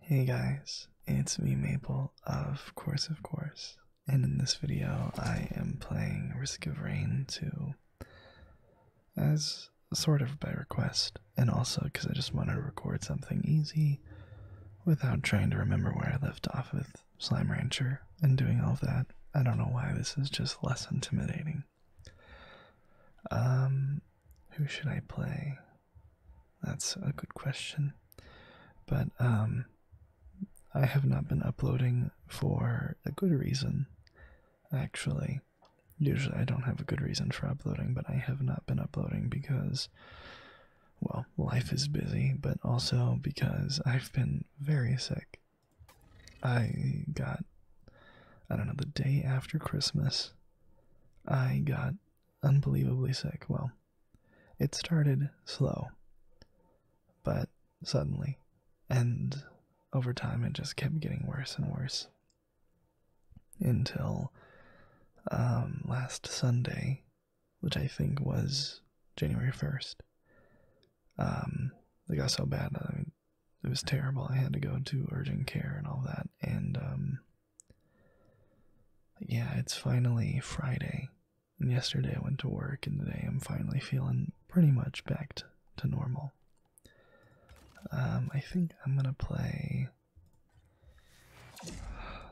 Hey guys, it's me Maple of Course of Course, and in this video I am playing Risk of Rain 2 as sort of by request, and also because I just wanted to record something easy without trying to remember where I left off with Slime Rancher and doing all of that. I don't know why this is just less intimidating. Um, who should I play? That's a good question. But um I have not been uploading for a good reason actually. Usually I don't have a good reason for uploading, but I have not been uploading because well, life is busy, but also because I've been very sick. I got I don't know the day after Christmas I got unbelievably sick. Well, it started slow, but suddenly, and over time it just kept getting worse and worse until um, last Sunday, which I think was January 1st. Um, it got so bad, I mean, it was terrible. I had to go to urgent care and all that, and um, yeah, it's finally Friday. And yesterday I went to work, and today I'm finally feeling pretty much back to, normal. Um, I think I'm gonna play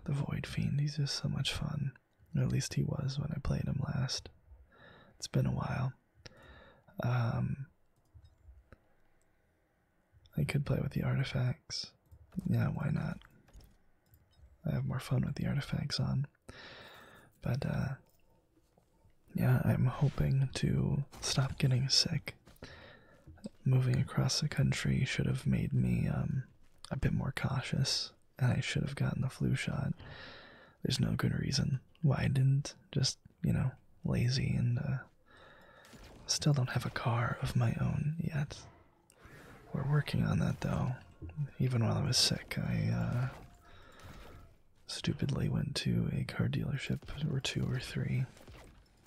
the Void Fiend. He's just so much fun. Or at least he was when I played him last. It's been a while. Um, I could play with the artifacts. Yeah, why not? I have more fun with the artifacts on. But, uh, yeah, I'm hoping to stop getting sick. Moving across the country should have made me um, a bit more cautious, and I should have gotten the flu shot. There's no good reason why I didn't. Just, you know, lazy and uh, Still don't have a car of my own yet. We're working on that though. Even while I was sick, I uh, stupidly went to a car dealership, or two or three.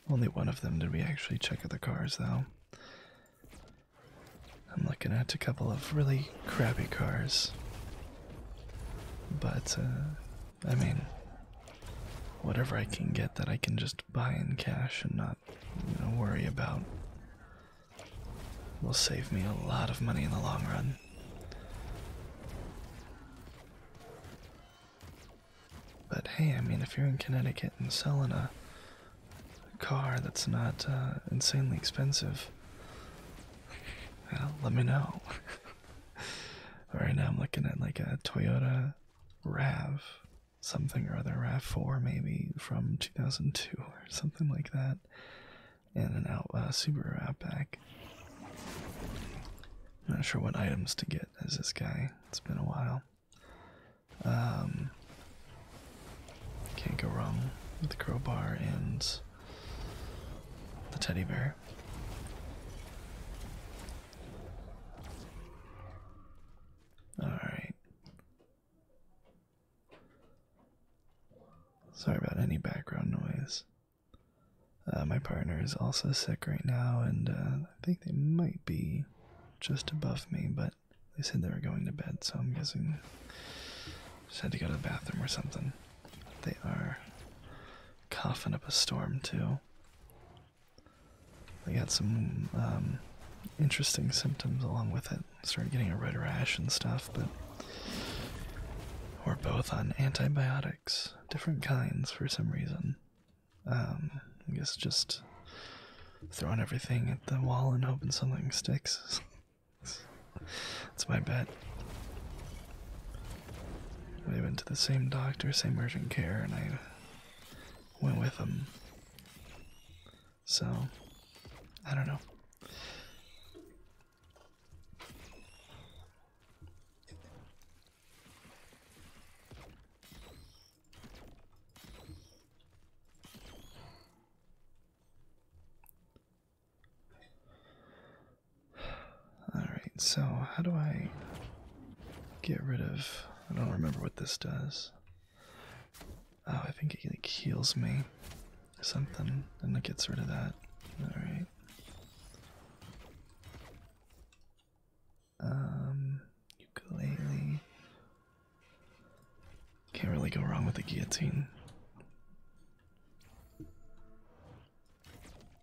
Only one of them did we actually check out the cars though. I'm looking at a couple of really crappy cars. But, uh, I mean, whatever I can get that I can just just buy in cash and not you know, worry about will save me a lot of money in the long run. But hey, I mean, if you're in Connecticut and selling a, car that's not uh, insanely expensive, let me know. right now, I'm looking at like a Toyota Rav something or other, Rav 4 maybe from 2002 or something like that, and an out, uh, Subaru Outback. not sure what items to get as this guy. It's been a while. Um, can't go wrong with the crowbar and the teddy bear. All right. Sorry about any background noise. Uh, my partner is also sick right now, and uh, I think they might be just above me, but they said they were going to bed, so I'm guessing just had to go to the bathroom or something. They are coughing up a storm, too. I got some um, interesting symptoms along with it. Started getting a red rash and stuff, but we're both on antibiotics, different kinds for some reason. Um, I guess just throwing everything at the wall and hoping something sticks. That's my bet. We went to the same doctor, same urgent care, and I went with them, So, I don't know. All right, so how do I get rid of I don't remember what this does. Oh, I think it like, heals me something, and it gets rid of that. Alright. Um, ukulele. Can't really go wrong with the guillotine.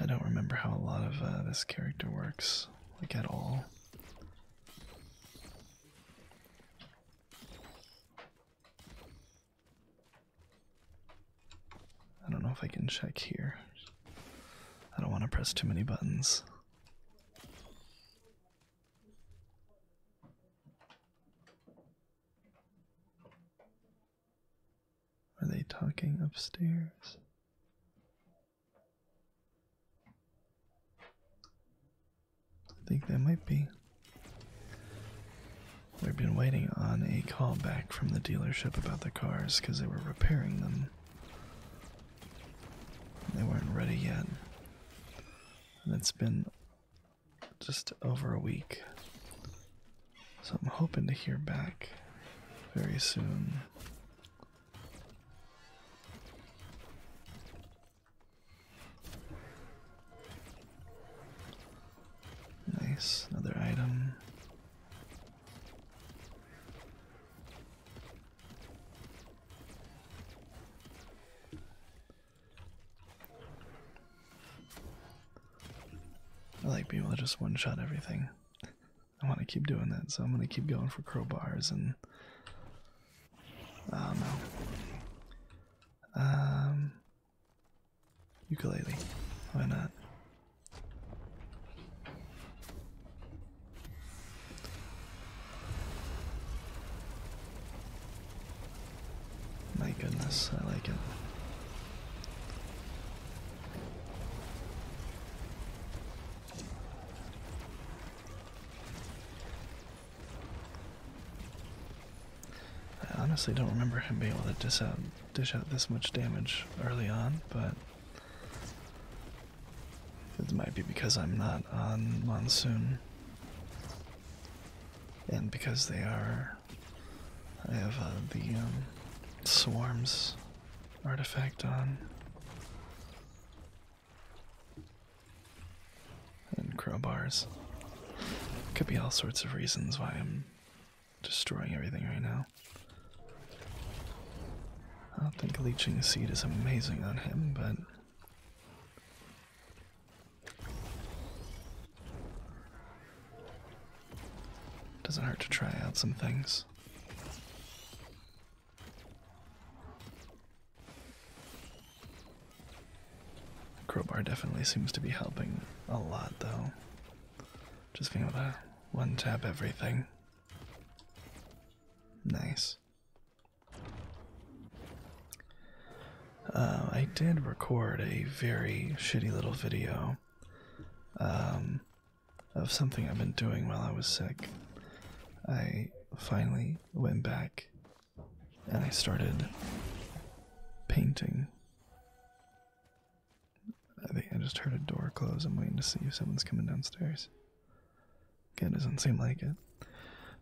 I don't remember how a lot of uh, this character works, like at all. I don't know if I can check here. I don't want to press too many buttons. Are they talking upstairs? I think they might be. We've been waiting on a call back from the dealership about the cars because they were repairing them. They weren't ready yet. And it's been just over a week. So I'm hoping to hear back very soon. Nice, another item. I like being able to just one shot everything. I want to keep doing that, so I'm going to keep going for crowbars and. Oh Um. Ukulele. Why not? My goodness, I like it. I honestly don't remember him being able to dish out, dish out this much damage early on, but it might be because I'm not on monsoon. And because they are. I have uh, the um, swarms artifact on. And crowbars. Could be all sorts of reasons why I'm destroying everything right now. I don't think leeching seed is amazing on him, but doesn't hurt to try out some things. Crowbar definitely seems to be helping a lot, though. Just being able to one tap everything. Nice. Uh, I did record a very shitty little video um, of something I've been doing while I was sick. I finally went back and I started painting. I think I just heard a door close. I'm waiting to see if someone's coming downstairs it doesn't seem like it.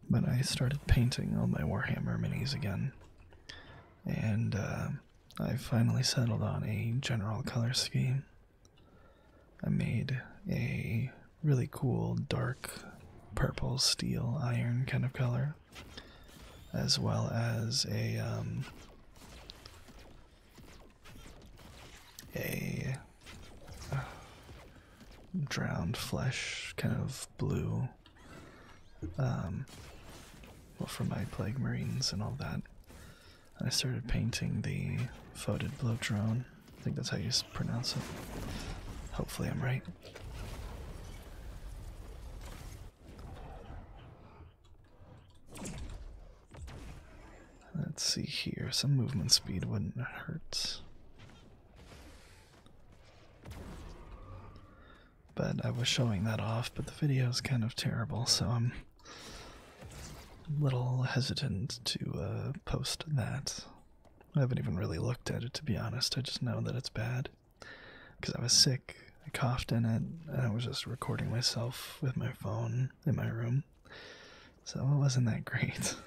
But I started painting all my Warhammer minis again. And uh, I finally settled on a general color scheme. I made a really cool dark purple steel iron kind of color, as well as a um, a drowned flesh, kind of blue. Um, well, for my plague marines and all that. I started painting the Foated Blow Drone. I think that's how you pronounce it. Hopefully, I'm right. Let's see here. Some movement speed wouldn't hurt. But I was showing that off, but the video is kind of terrible, so I'm a little hesitant to uh, post that. I haven't even really looked at it, to be honest. I just know that it's bad. Because I was sick, I coughed in it, and I was just recording myself with my phone in my room so it wasn't that great.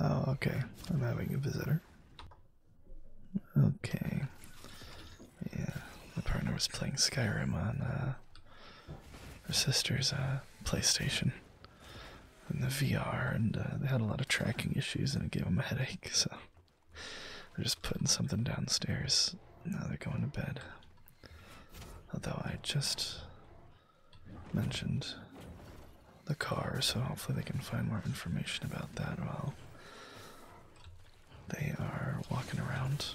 Oh, okay. I'm having a visitor. Okay. Yeah, my partner was playing Skyrim on uh, her sister's uh, PlayStation and the VR, and uh, they had a lot of tracking issues, and it gave them a headache. So they're just putting something downstairs. Now they're going to bed. Although I just mentioned the car, so hopefully they can find more information about that while they are walking around.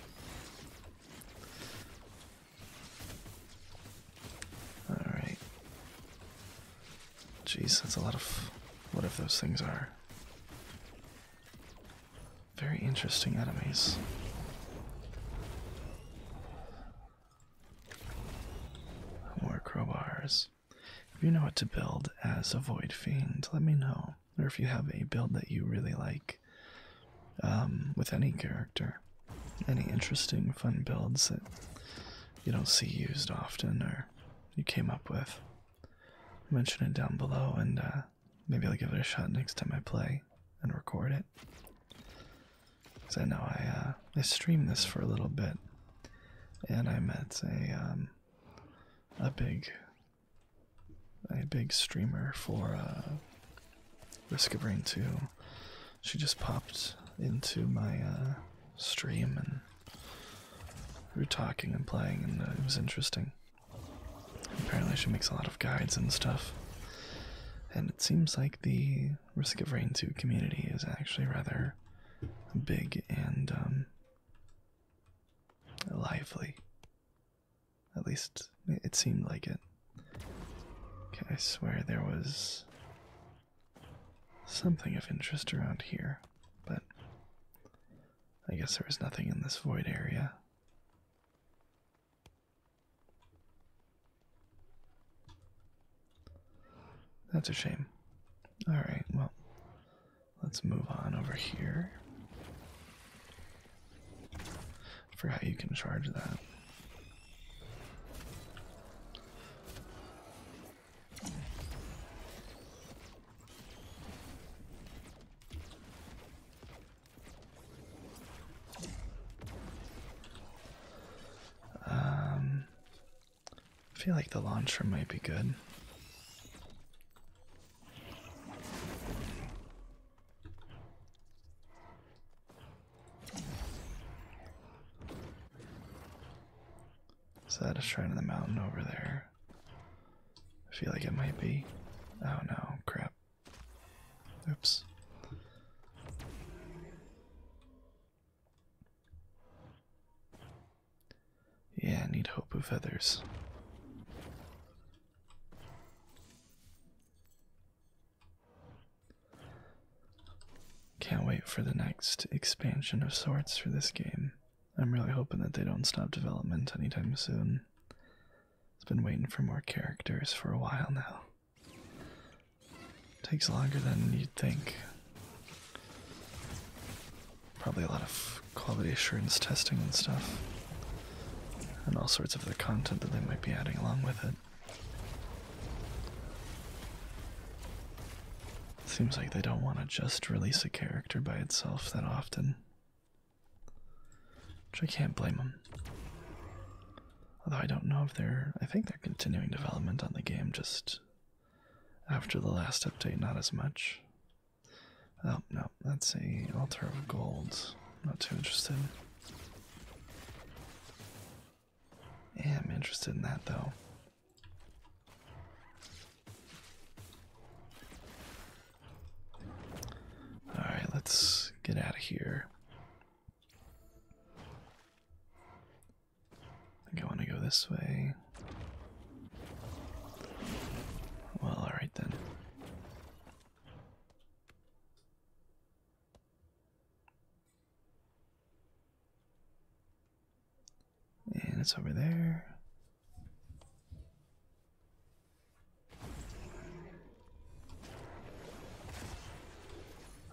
Alright. Jeez, that's a lot of What if those things are. Very interesting enemies. More crowbars. If you know what to build as a Void Fiend, let me know. Or if you have a build that you really like, um, with any character. Any interesting, fun builds that you don't see used often or you came up with. Mention it down below and uh, maybe I'll give it a shot next time I play and record it. Because I know I, uh, I streamed this for a little bit and I met a, um, a big a big streamer for uh, Risk of Rain 2. She just popped into my uh, stream and we were talking and playing, and uh, it was interesting. Apparently, she makes a lot of guides and stuff. And it seems like the Risk of Rain 2 community is actually rather big and um, lively. At least it seemed like it. I swear there was something of interest around here, but I guess there was nothing in this void area. That's a shame. Alright, well, let's move on over here. For how you can charge that. Um, I feel like the launcher might be good. Is that a shrine in the mountain over there? I feel like it might be. Oh no, crap. Oops. Yeah, I need hope of feathers. Can't wait for the next expansion of sorts for this game. I'm really hoping that they don't stop development anytime soon. It's been waiting for more characters for a while now. Takes longer than you'd think. Probably a lot of quality assurance testing and stuff, and all sorts of the content that they might be adding along with it. Seems like they don't want to just release a character by itself that often. Which I can't blame them. Although I don't know if they're. I think they're continuing development on the game just after the last update, not as much. Oh, no, that's a altar of gold. Not too interested. I'm interested in that though. Alright, let's get out of here. I think I want to go this way. Well, alright then. And it's over there.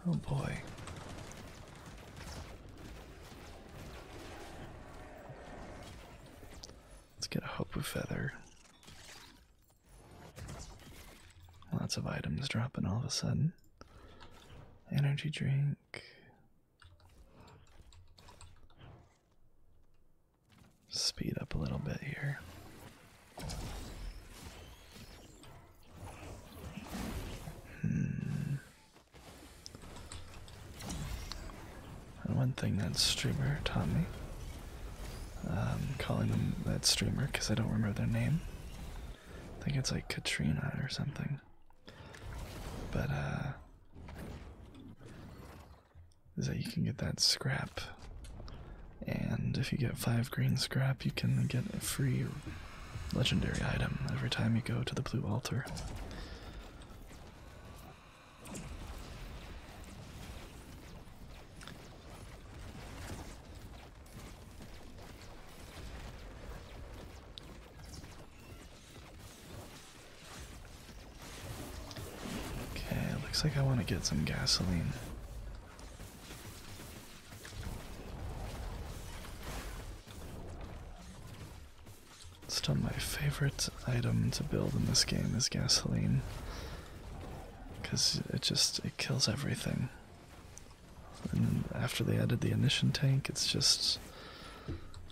Oh boy. Let's get a hope of feather. Lots of items dropping all of a sudden. Energy drink. Speed up a little bit here. Hmm. one thing that streamer taught me um, calling them that streamer because I don't remember their name. I think it's like Katrina or something. But, uh, is that you can get that scrap. And if you get five green scrap, you can get a free legendary item every time you go to the Blue Altar. Okay, looks like I want to get some gasoline. Still, my favorite item to build in this game is gasoline because it just it kills everything. And after they added the ignition tank, it's just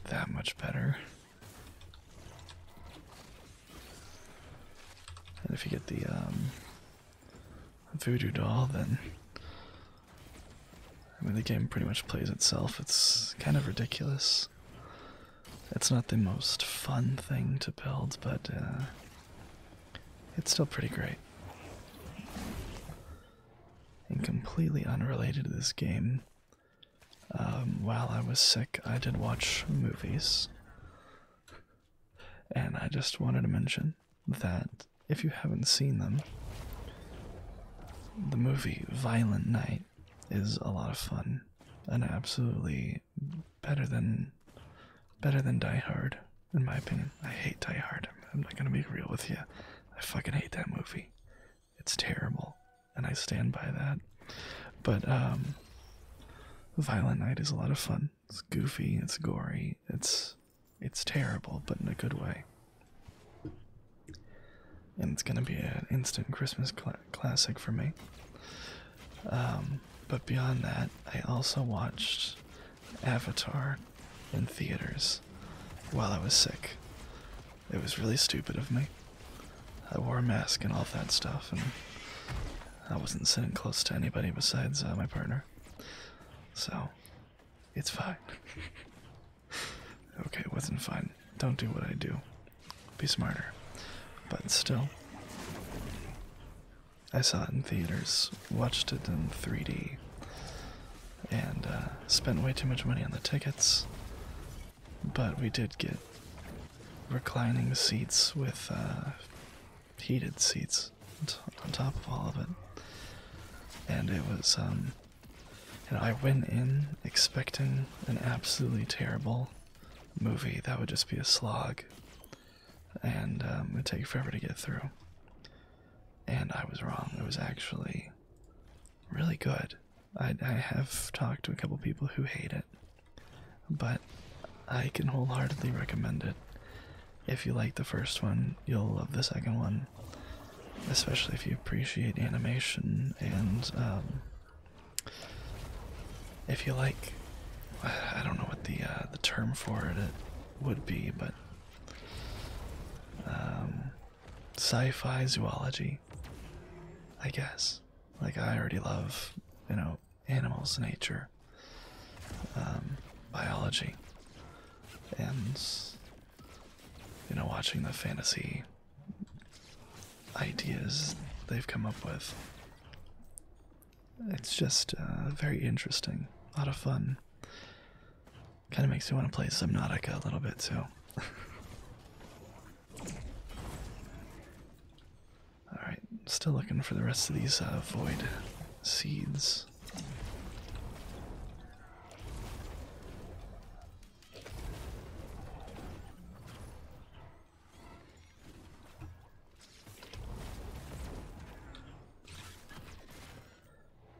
that much better. And if you get the um, voodoo doll, then I mean the game pretty much plays itself. It's kind of ridiculous. It's not the most fun thing to build, but uh, it's still pretty great. And completely unrelated to this game, um, while I was sick, I did watch movies. And I just wanted to mention that if you haven't seen them, the movie Violent Night is a lot of fun. An absolutely better than better than Die Hard, in my opinion. I hate Die Hard. I'm, not gonna be real with you. I fucking hate that movie. It's terrible, and I stand by that. But um, Violent Night is a lot of fun. It's goofy. It's gory. It's it's terrible, but in a good way. And it's gonna be an instant Christmas classic for me. Um, but beyond that, I also watched Avatar in theaters while I was sick. It was really stupid of me. I wore a mask and all that stuff, and I wasn't sitting close to anybody besides uh, my partner. So, it's fine. okay, it wasn't fine. Don't do what I do. Be smarter. But still, I saw it in theaters, watched it in 3D, and uh, spent way too much money on the tickets. But we did get reclining seats with uh, heated seats on top of all of it. And it was, um, I went in expecting an absolutely terrible movie that would just be a slog and um, it would take forever to get through. And I was wrong. It was actually really good. I, I have talked to a couple people who hate it, but I can wholeheartedly recommend it. If you like the first one, you'll love the second one, especially if you appreciate animation and um, if you like I don't know what the uh, the term for it would be, but um, sci-fi zoology, I guess. Like I already love you know animals, nature, um, biology, and you know watching the fantasy ideas they've come up with it's just uh, very interesting, a lot of fun. Kind of makes me want to play Subnautica a little bit too. Alright, still looking for the rest of these uh, void seeds.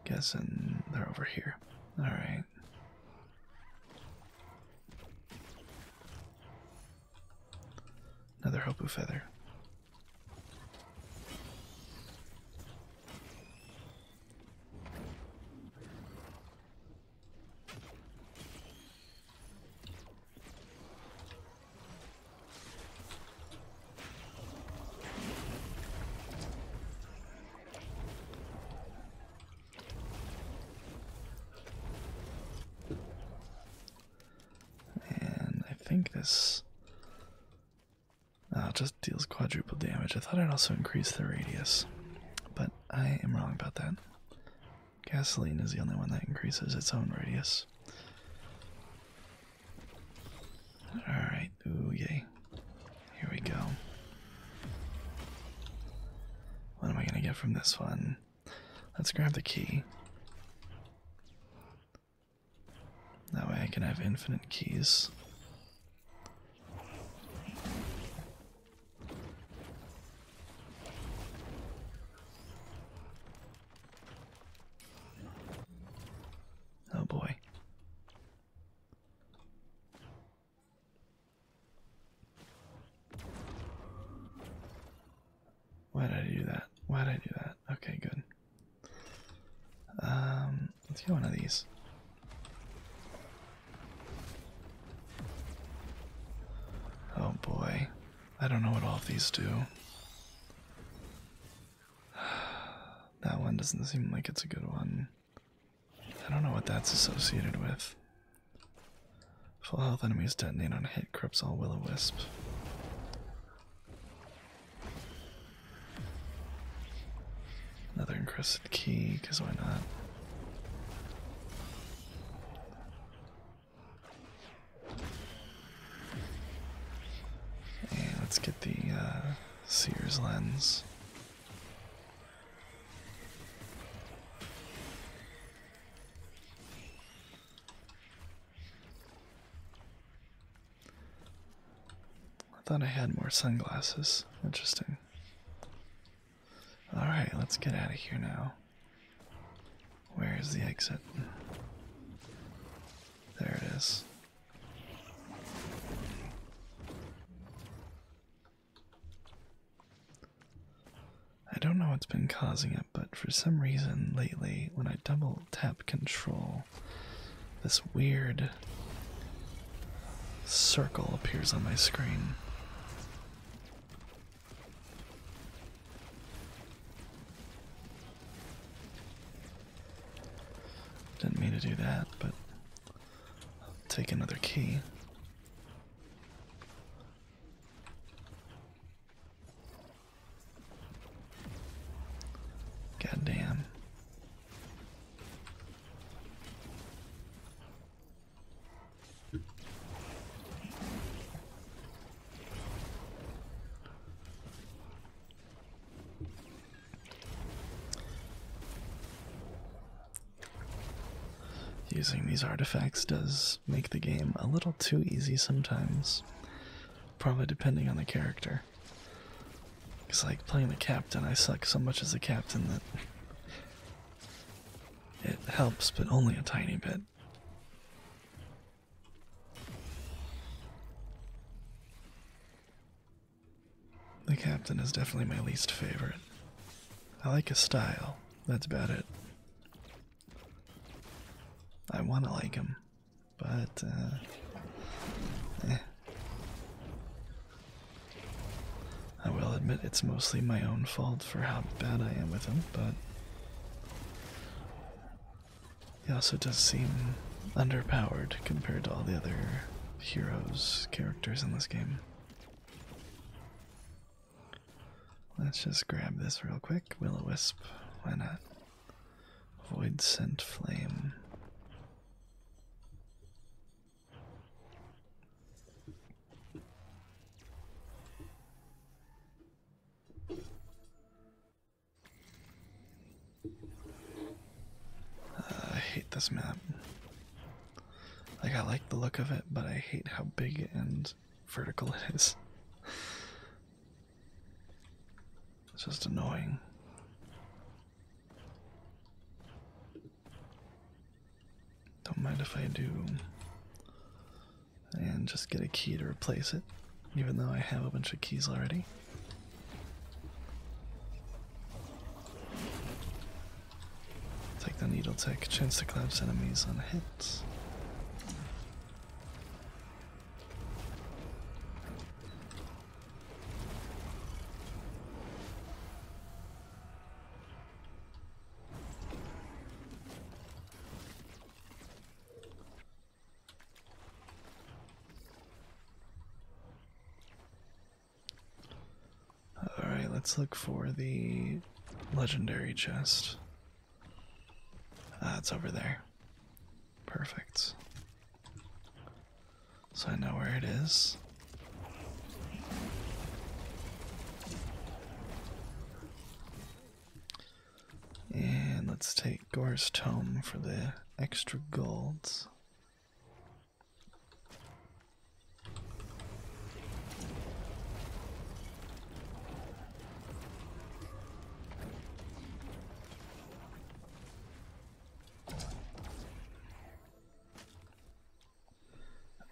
Guessing they're over here. All right. Another hopu feather. And I think this uh, just deals quadruple damage. I thought I'd also increase the radius, but I am wrong about that. Gasoline is the only one that increases its own radius. Alright, ooh, yay. Here we go. What am I gonna get from this one? Let's grab the key. That way I can have infinite keys. Oh boy. Why did I do that? Why did I do that? Okay, good. Um, let's get one of these. Oh boy. I don't know what all of these do. That one doesn't seem like it's a good one. I don't know what that's associated with. Full health enemies detonate on hit, crips all willow wisp. Another encrusted key, because why not? let's get the uh, Sears lens. I thought I had more sunglasses. Interesting. Alright, let's get out of here now. Where is the exit? There it is. I don't know what's been causing it, but for some reason lately, when I double tap control, this weird circle appears on my screen. Didn't mean to do that, but I'll take another key. God Using these artifacts does make the game a little too easy sometimes. Probably depending on the character. It's like, playing the captain, I suck so much as a captain that it helps, but only a tiny bit. The captain is definitely my least favorite. I like his style, that's about it. I want to like him, but uh, eh. I will admit it's mostly my own fault for how bad I am with him, but he also does seem underpowered compared to all the other heroes, characters in this game. Let's just grab this real quick. Will o wisp, why not? Void scent flame. I hate this map. Like I like the look of it, but I hate how big and vertical it is. It's just annoying. Don't mind if I do and just get a key to replace it, even though I have a bunch of keys already. Take the needle tech, chance to collapse enemies on hits. Alright, let's look for the legendary chest. Ah, it's over there. Perfect. So I know where it is. And let's take Gore's Tome for the extra golds.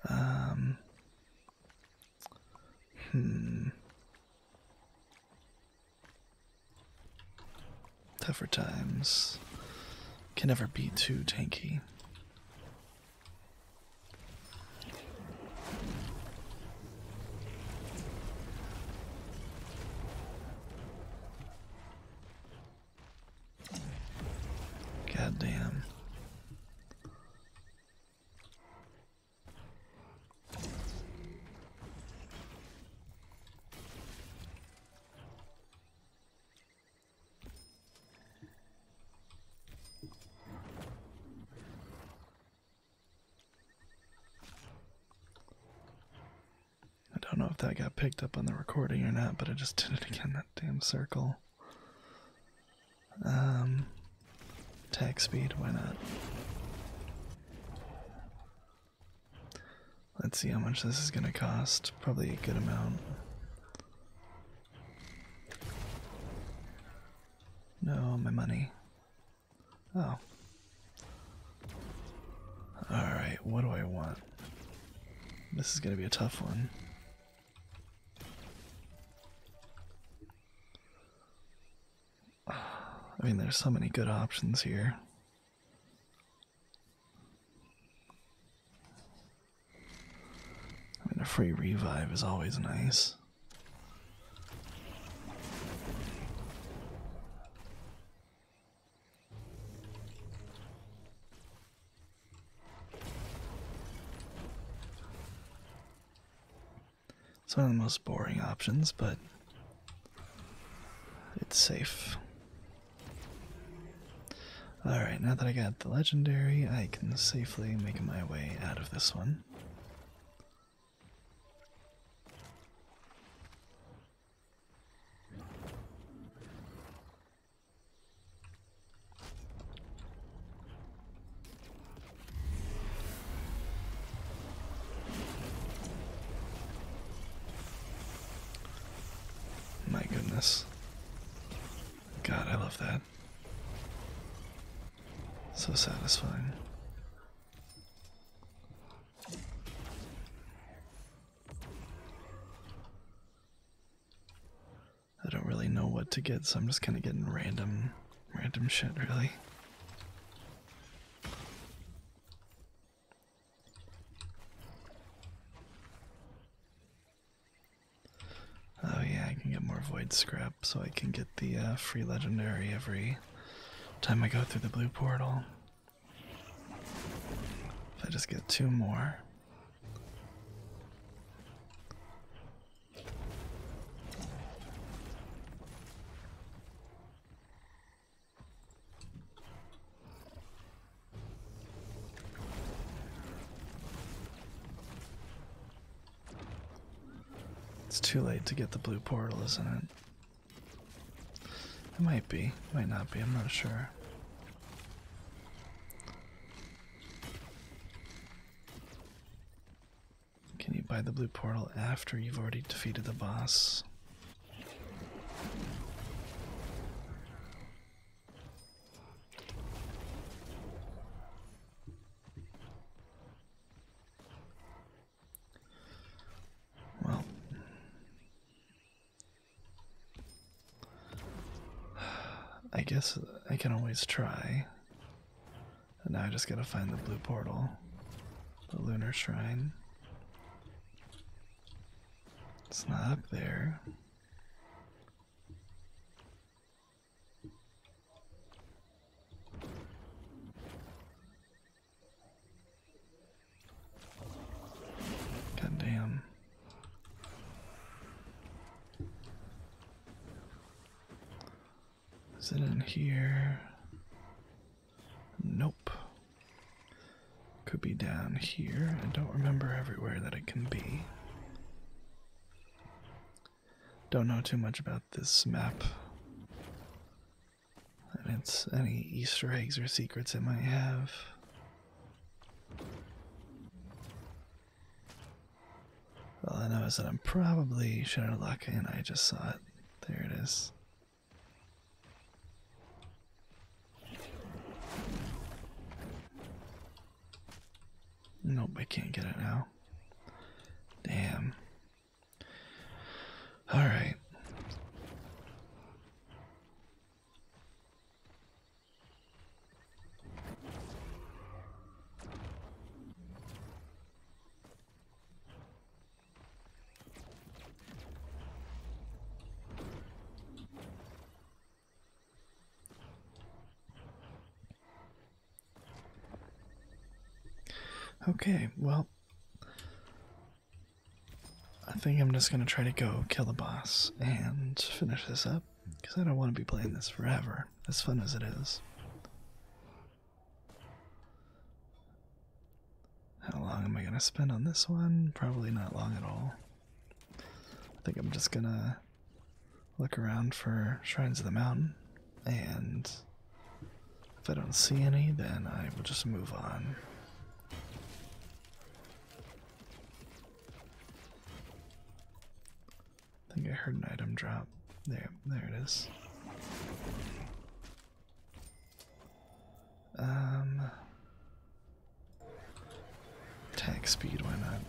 Um, hmm. Tougher times can never be too tanky. God I don't know if that got picked up on the recording or not, but I just did it again, that damn circle. Um Tax speed, why not? Let's see how much this is going to cost. Probably a good amount. No, my money. Oh. Alright, what do I want? This is going to be a tough one. I mean, there's so many good options here. I mean, a free revive is always nice. It's one of the most boring options, but it's safe. Alright, now that I got the legendary, I can safely make my way out of this one. My goodness. God, I love that. So satisfying. I don't really know what to get, so I'm just kind of getting random, random shit, really. Oh yeah, I can get more void scrap, so I can get the uh, free legendary every time I go through the blue portal. If I just get two more. It's too late to get the blue portal, isn't it? It might be, It might not be, I'm not sure. Can you buy the blue portal after you've already defeated the boss? Well, I guess I can always try. And now I just gotta find the blue portal, the lunar shrine. It's not up there. God Is it in here? Nope. Could be down here. I don't remember everywhere that it can be. Don't know too much about this map. And it's any Easter eggs or secrets it might have. Well, I know is that I'm probably Shadowlock and I just saw it. There it is. Nope, I can't get it now. Damn. Alright. Okay, well, I think I'm just gonna try to go kill the boss and finish this up because I don't want to be playing this forever, as fun as it is. How long am I going to spend on this one? Probably not long at all. I think I'm just going to look around for Shrines of the Mountain, and if I don't see any, then I will just move on. I think I heard an item drop. There, there it is. Um, attack speed, why not?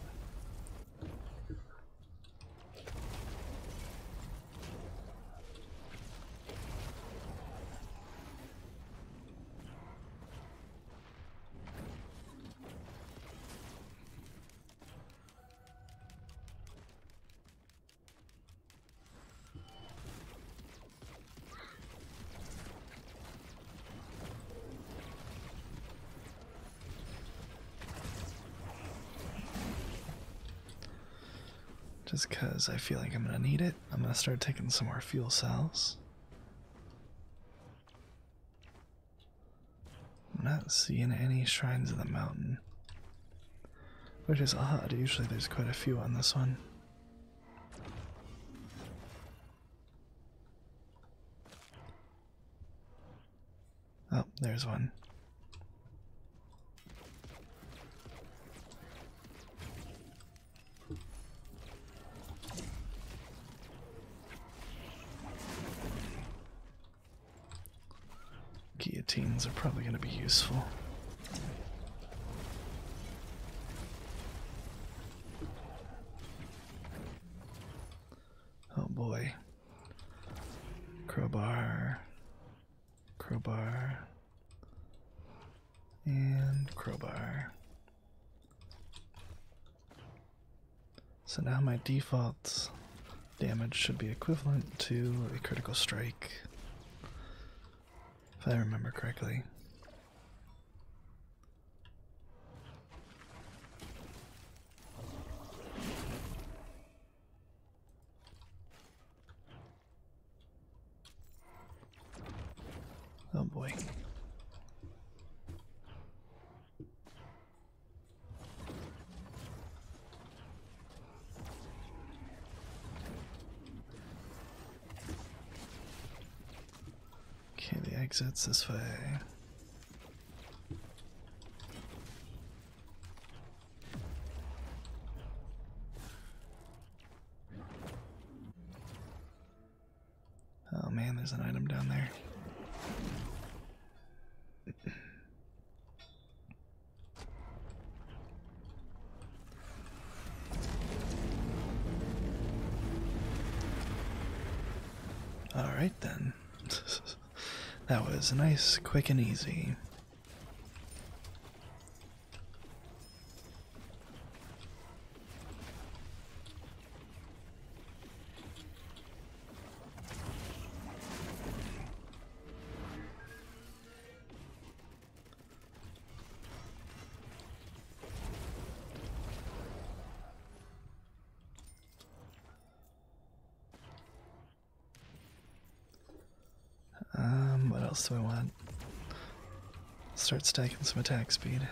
Just because I feel like I'm going to need it, I'm going to start taking some more fuel cells. I'm not seeing any shrines of the mountain which is odd. Usually there's quite a few on this one. Oh, there's one. Guillotines are probably going to be useful. Oh boy. Crowbar, crowbar, and crowbar. So now my defaults damage should be equivalent to a critical strike, if I remember correctly. Oh boy. Okay, the exit's this way. Oh man, there's an item down there. All right then. that was nice, quick and easy. Um, what else do I want? Start stacking some attack speed.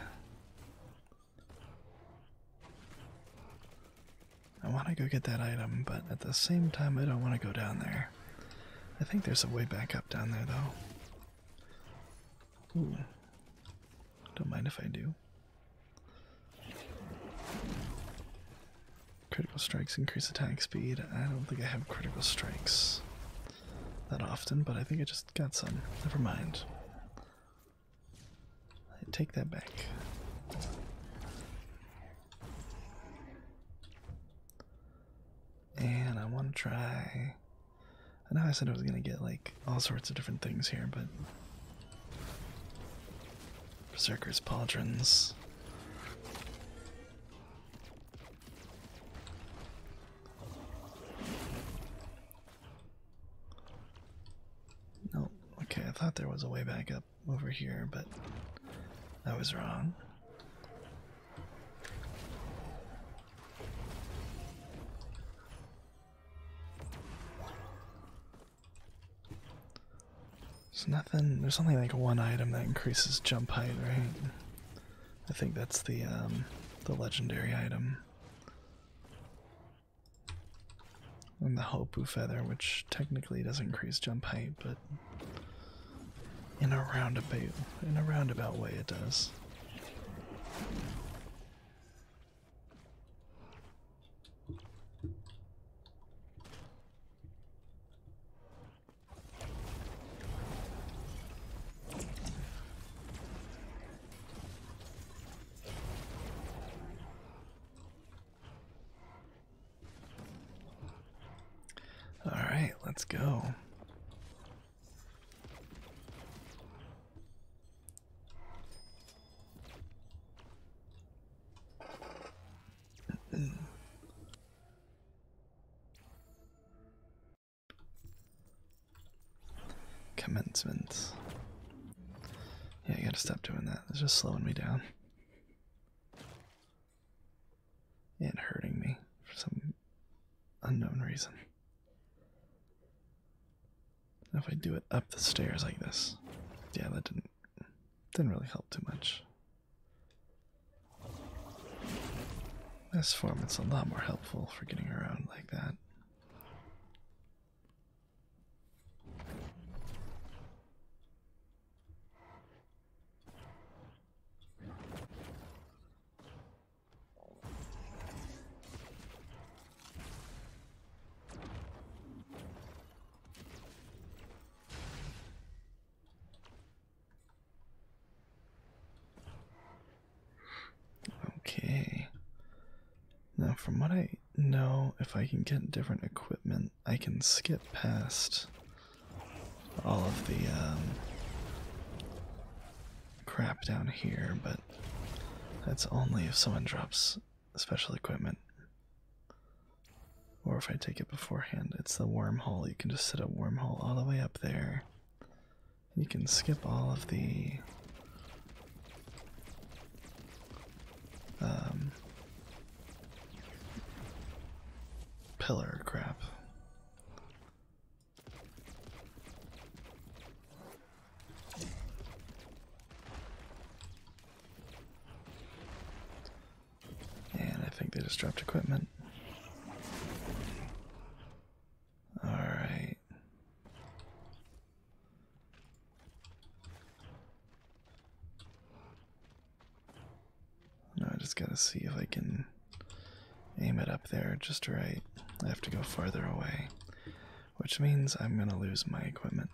I want to go get that item, but at the same time, I don't want to go down there. I think there's a way back up down there, though. Don't mind if I do. Critical strikes increase attack speed. I don't think I have critical strikes that often, but I think I just got some. Never mind. take that back. And I want to try. I know I said I was going to get like all sorts of different things here, but. Berserker's Pauldrons. No, okay, I thought there was a way back up over here, but I was wrong. There's nothing, there's only like one item that increases jump height, right? I think that's the, um, the legendary item. And the Hopu Feather, which technically does not increase jump height, but in a roundabout in a roundabout way it does. All right, let's go. Commencement. Yeah, I gotta stop doing that. It's just slowing me down and hurting me for some unknown reason. If I do it up the stairs like this, yeah, that didn't didn't really help too much. This form it's a lot more helpful for getting around like that. Okay. Now, from what I know, if I can get different equipment, I can skip past all of the um, crap down here, but that's only if someone drops special equipment. Or if I take it beforehand, it's the wormhole. You can just set a wormhole all the way up there. You can skip all of the um, Pillar crap. And I think they just dropped equipment. Alright. Now I just gotta see if I can aim it up there just right. I have to go farther away, which means I'm gonna lose my equipment.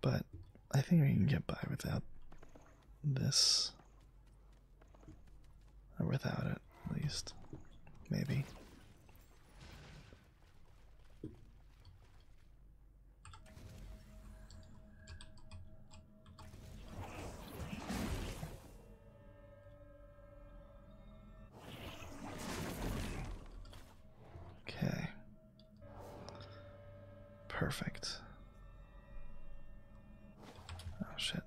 But I think we can get by without this. Or without it, at least. Maybe. Okay. Perfect. Oh shit.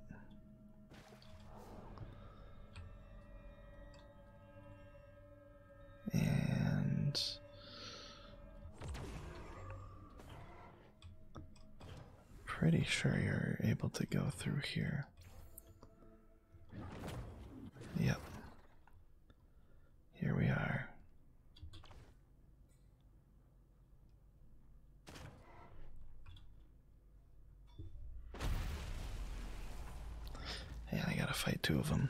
And Pretty sure you're able to go through here. Yep. Here we are. Yeah, I gotta fight two of them.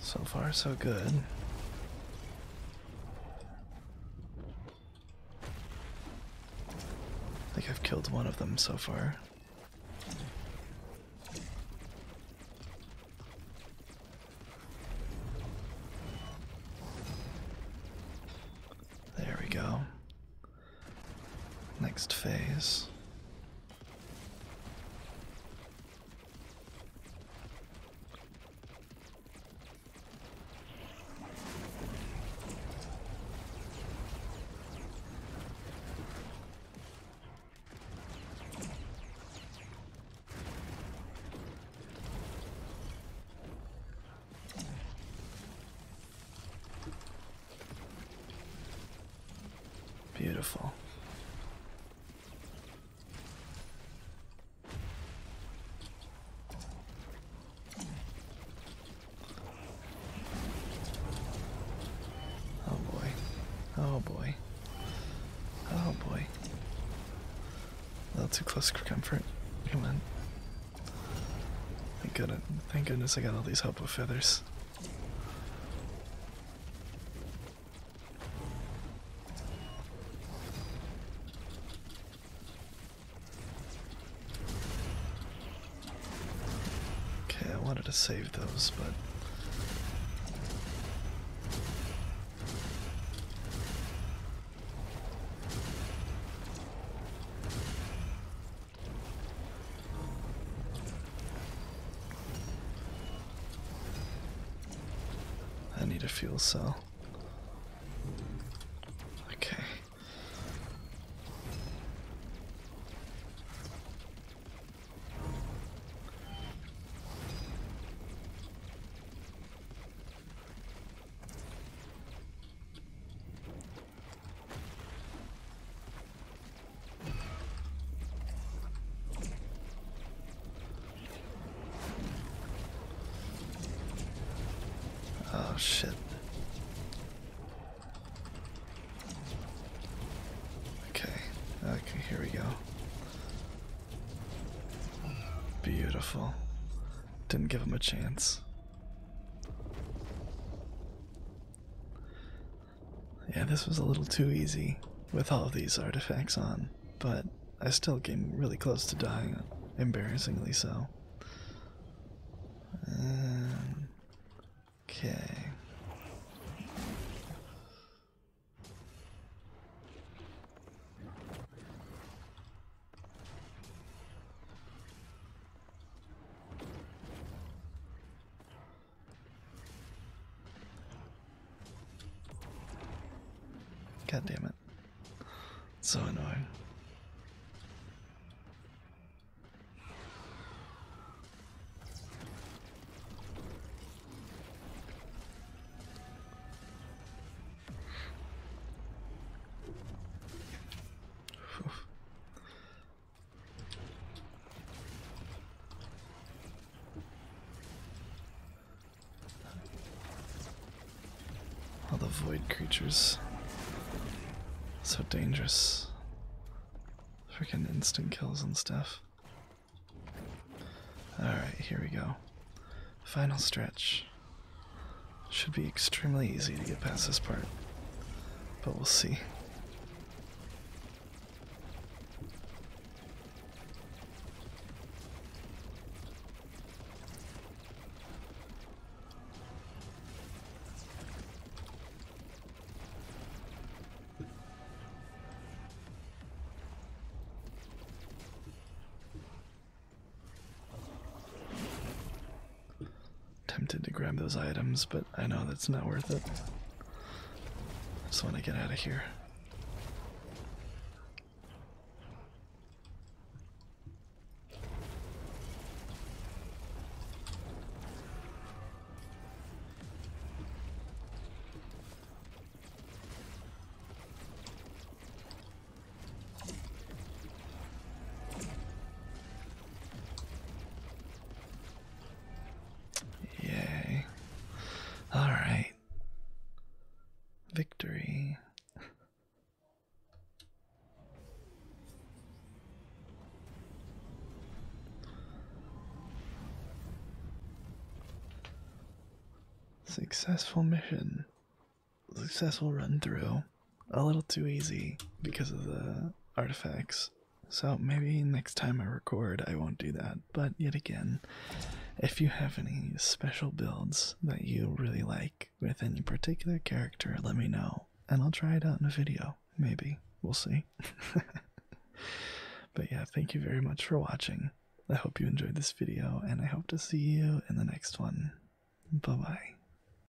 So far, so good. I think I've killed one of them so far. There we go next phase. Beautiful. Oh boy. Oh boy. Oh boy. A little too close for comfort. Come on. Thank goodness, thank goodness I got all these help with feathers. Okay, I wanted to save those, but I need a fuel cell. Okay. Oh shit. Okay, okay, here we go. Beautiful. Didn't give him a chance. Yeah, this was a little too easy with all of these artifacts on, but I still came really close to dying, embarrassingly so. Um, okay. God damn it. So annoying. All the void creatures. So dangerous. Freaking instant kills and stuff. Alright, here we go. Final stretch. Should be extremely easy to get past this part, but we'll see tempted to grab those items, but I know that's not worth it. just want to get out of here. Yay. Alright. Victory. Successful mission. Successful run through a little too easy because of the artifacts. So maybe next time I record, I won't do that. But yet again, if you have any special builds that you really like with any particular character, let me know. And I'll try it out in a video. Maybe. We'll see. but yeah, thank you very much for watching. I hope you enjoyed this video, and I hope to see you in the next one. Bye bye.